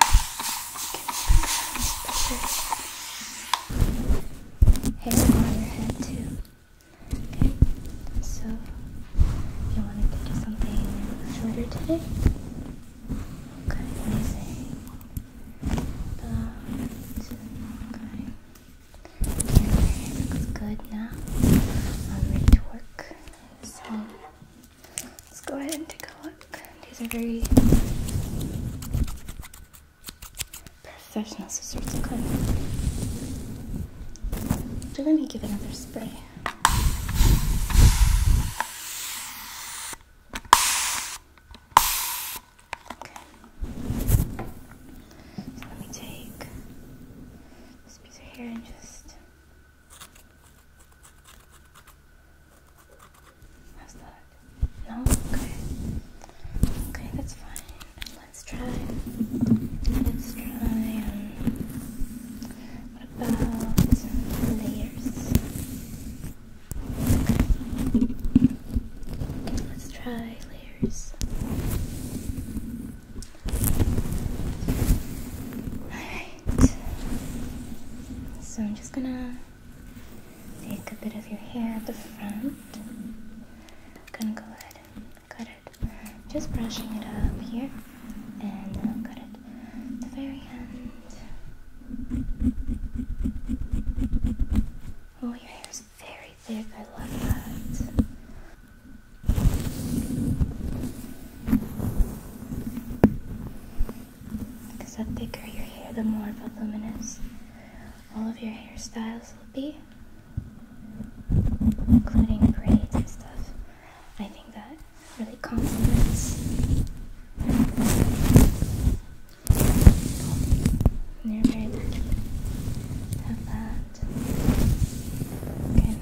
Hair on your head too. Okay, so you wanted to do something shorter today? Okay, amazing. okay. Your hair looks good now. I'm ready to work. So Let's go ahead and take a look. These are very professional scissors. Okay. So let to give another spray. Okay. let me take this piece of hair and just How's that? No? Okay. Okay, that's fine. Let's try. Let's try. Um, about layers? Okay. Let's try layers. Alright. So I'm just gonna take a bit of your hair at the front. I'm gonna go ahead and cut it. Just brushing it up here and I'll cut it at the very end. Oh, your hair is very thick. I love that. Because the thicker your hair, the more voluminous all of your hairstyles will be, including braids and stuff. I think that really compliments. And you're very lucky have that. Okay.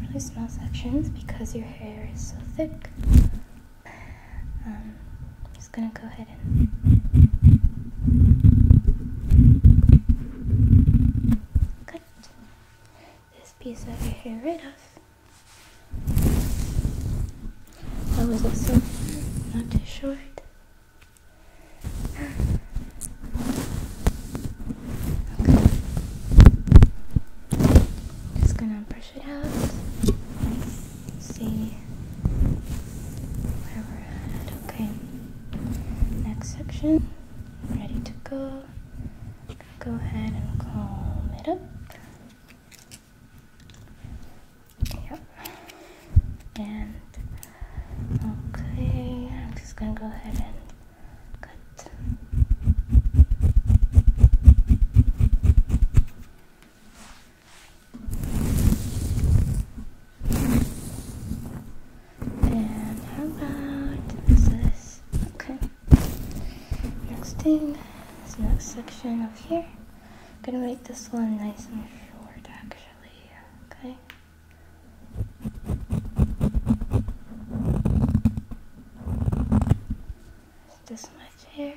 Really small sections because your hair is so thick. I'm um, just gonna go ahead and cut this piece of your hair right off. That was also not too short. Okay. Just gonna brush it out. See where we're at. Okay. Next section. Ready to go. Go ahead and comb it up. Yep. And okay, I'm just gonna go ahead and cut. And how about this? Okay. Next thing is next section up here. I'm gonna make this one nice and short actually, okay? This much hair,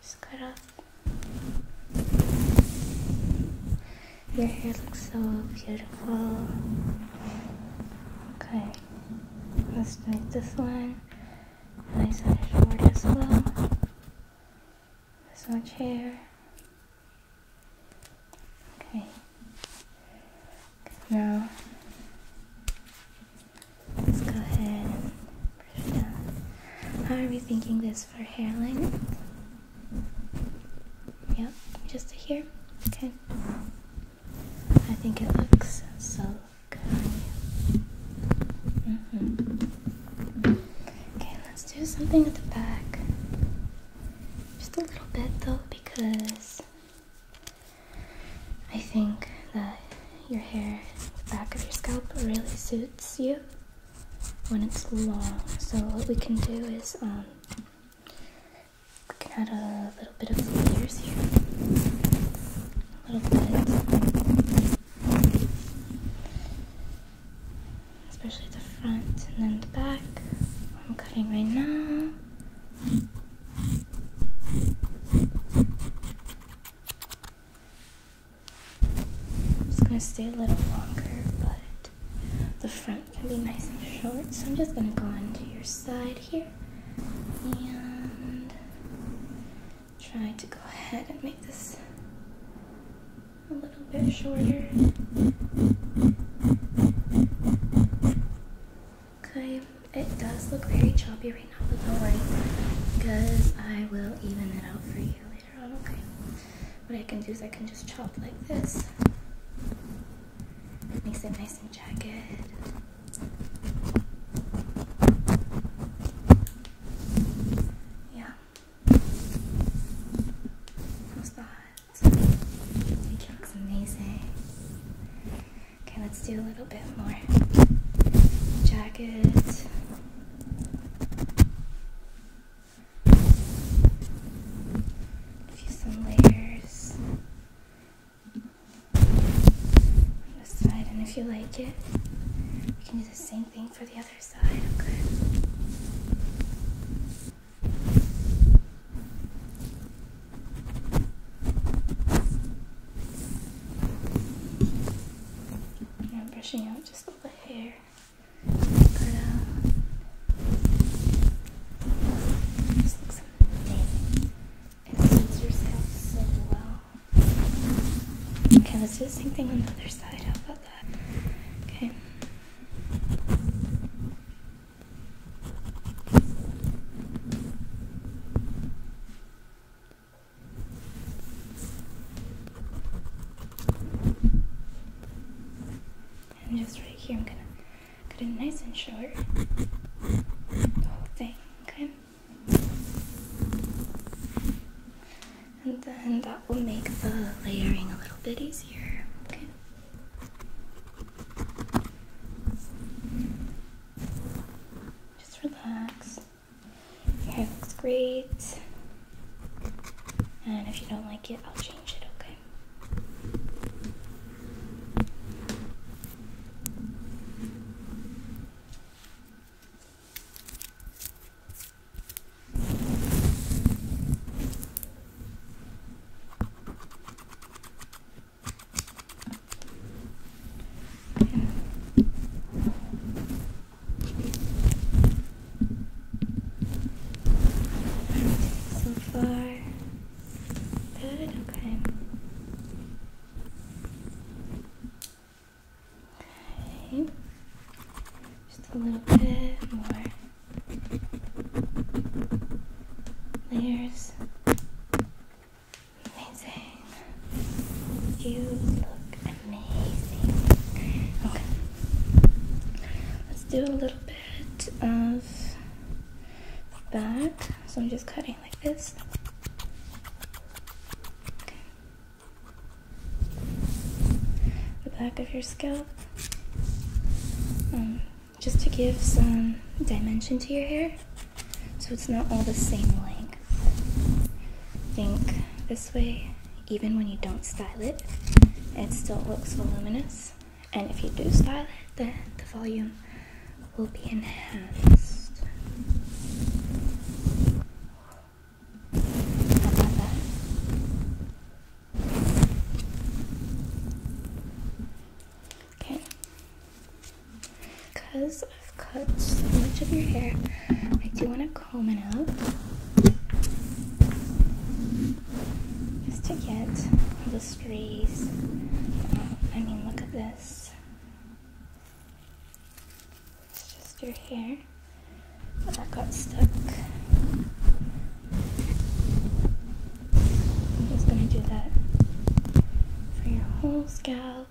just cut off. Your hair looks so beautiful. Okay, let's make this one nice and short as well. This much hair. Okay. Now let's go ahead and brush down. How are we thinking this for hairline? Yep, just here. Okay. I think it looks so Okay. Mm-hmm. Okay, let's do something at the back. Just a little bit though, because I think that your hair, the back of your scalp, really suits you when it's long. So what we can do is um, we can a little bit of the layers here. Especially the front and then the back. I'm cutting right now. Just gonna stay a little longer, but the front can be nice and short. So I'm just gonna go onto your side here and try to go ahead and make this a little bit shorter. Okay, it does look very choppy right now, but don't worry because I will even it out for you later on, okay? What I can do is I can just chop like this. Makes it nice and jagged. Yeah. How's that? looks amazing. Okay, let's do a little bit more. Jacket. Give you some layers on side, and if you like it, you can do the same thing for the other side, okay? I'm brushing out just all the hair. Um, it lends Okay, let's do the same thing on the other side. How about that? Okay. And just right here, I'm gonna cut it nice and short. The whole thing, okay? And then that will make the layering a little bit easier. Okay. Just relax. Your hair looks great. And if you don't like it, I'll change it, okay? So far, good. Okay. Okay. Just a little bit more layers. Amazing. You look amazing. Okay. Let's do a little bit of that. So I'm just cutting like this. The back of your scalp. Um, just to give some dimension to your hair so it's not all the same length. Think this way, even when you don't style it, it still looks voluminous. And if you do style it, then the volume will be enhanced. How about Okay. Because I've cut so much of your hair, I do want to comb it out just to get the stray. Um, I mean, look at this. It's just your hair that got stuck. I'm just gonna do that for your whole scalp.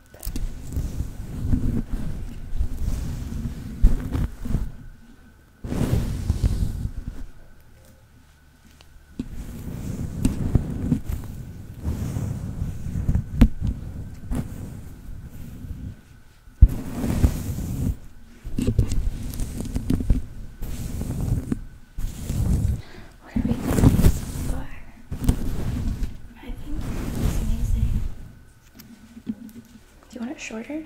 What are we doing I think it's amazing. Do you want it shorter?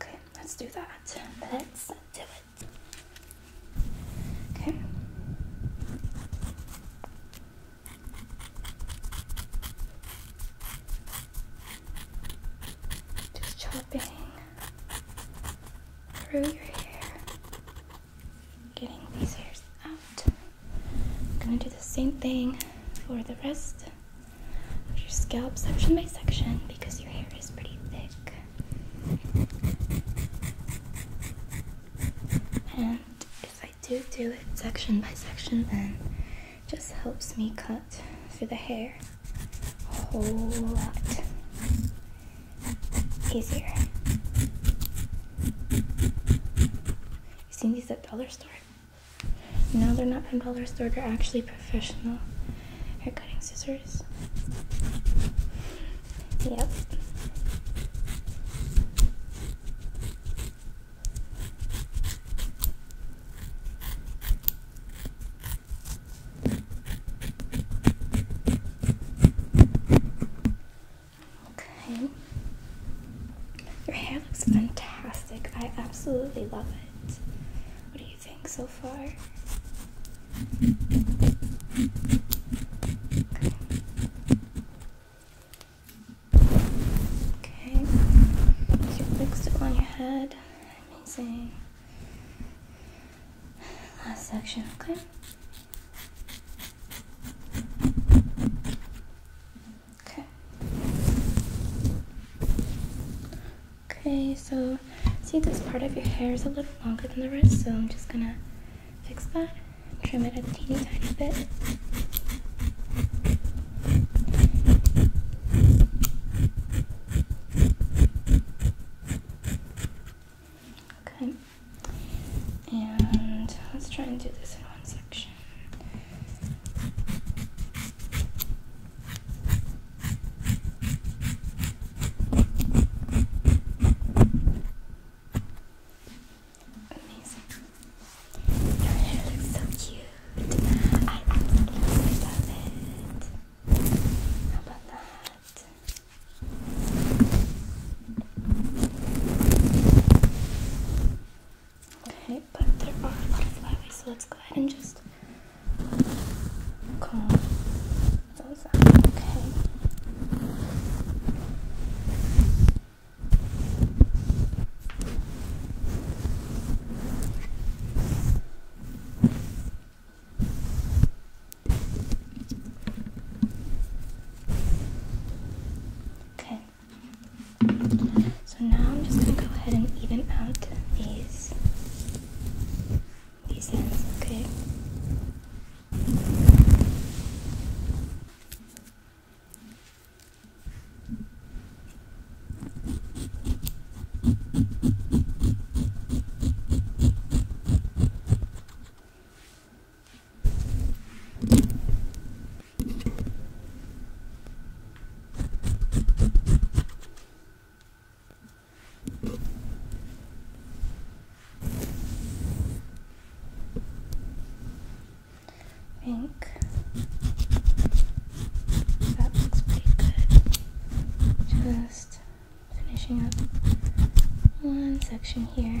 Okay, let's do that. Let's do it. Okay. Just chopping through your hair, getting these hairs out. I'm gonna do the same thing for the rest of your scalp, section by section, because your hair is pretty thick. And if I do do it section by section, then just helps me cut through the hair a whole lot easier. You've seen these at dollar store? No, they're not from dollar store. They're actually professional hair cutting scissors. Yep. Okay. Your hair looks fantastic. I absolutely love it. What do you you think so far? Okay, you fixed it on your head. Amazing. Last section, okay? Okay. Okay, so see this part of your hair is a little longer than the rest, so I'm just gonna fix that, trim it a teeny tiny bit. Okay, and let's try and do this in one section. Amazing. Your hair looks so cute. I absolutely love it. How about that? Okay, but there are a lot of flyaways, so let's go ahead and just Okay. So now I'm just going to go ahead and even out these these hands, okay? Okay. Pink. That looks pretty good. Just finishing up one section here.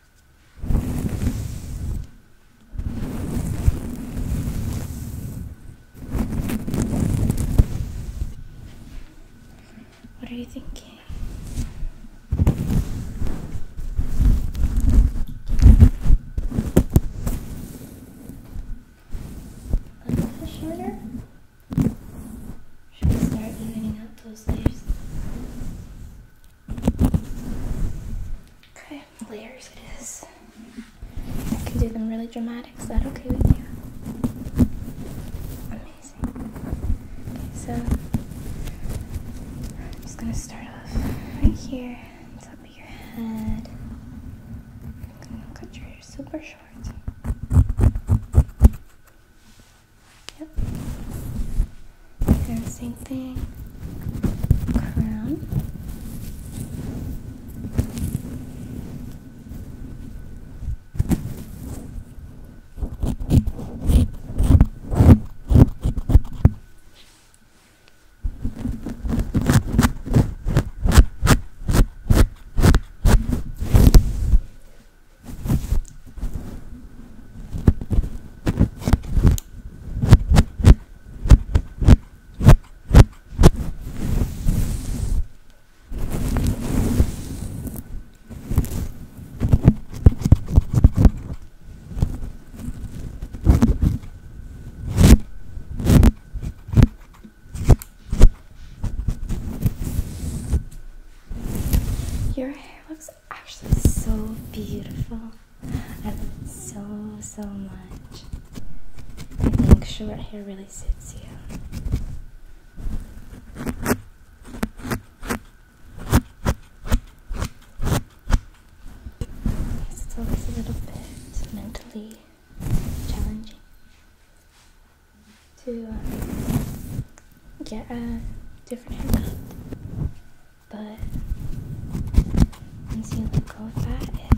What are you thinking? Like the shoulder? Should we start evening out those leaves? Okay, layers it is. I can do them really dramatic. Is that okay with you? Amazing. so I'm just gonna start off right here, on top of your head. I'm gonna cut your hair super short. Yep. same thing. Crown. Your hair looks actually so beautiful. I love it so, so much. I think short hair really suits you. it's always a little bit mentally challenging to uh, get a different haircut. But once you let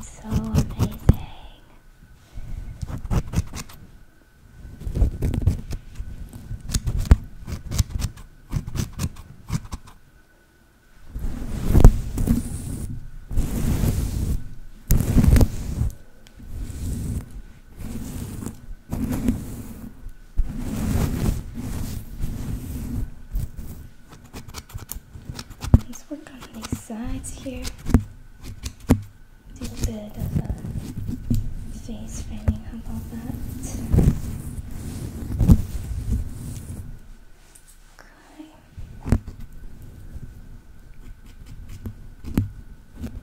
so amazing. Let's work on these sides here. Do a bit of a face framing. How about that? Okay looks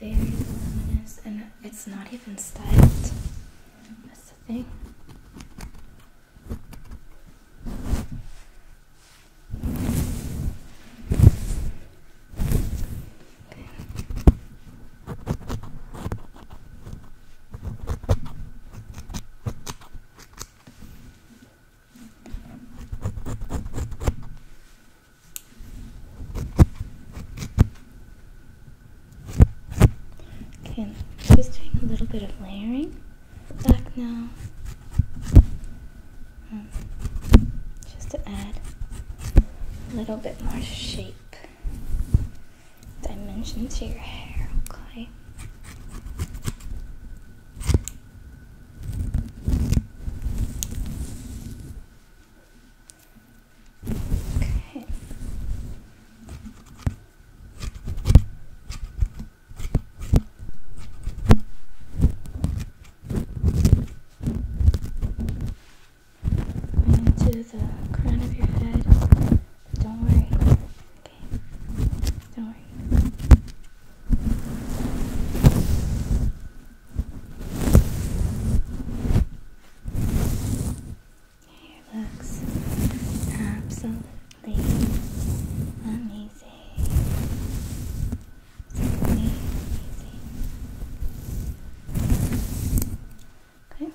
very luminous and it's not even styled. That's the thing. Okay, just doing a little bit of layering back now. Hmm. Just to add a little bit more shape, dimension to your hair, okay? Okay. I'm the crown of your head. Don't worry. Okay? Don't worry. Your hair looks absolutely like, amazing. amazing. Okay,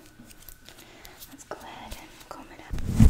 let's go ahead and comb it up.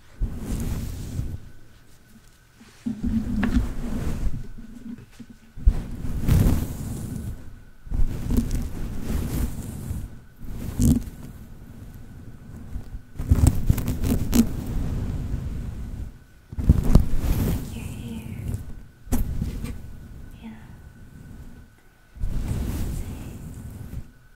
Like your hair. Yeah.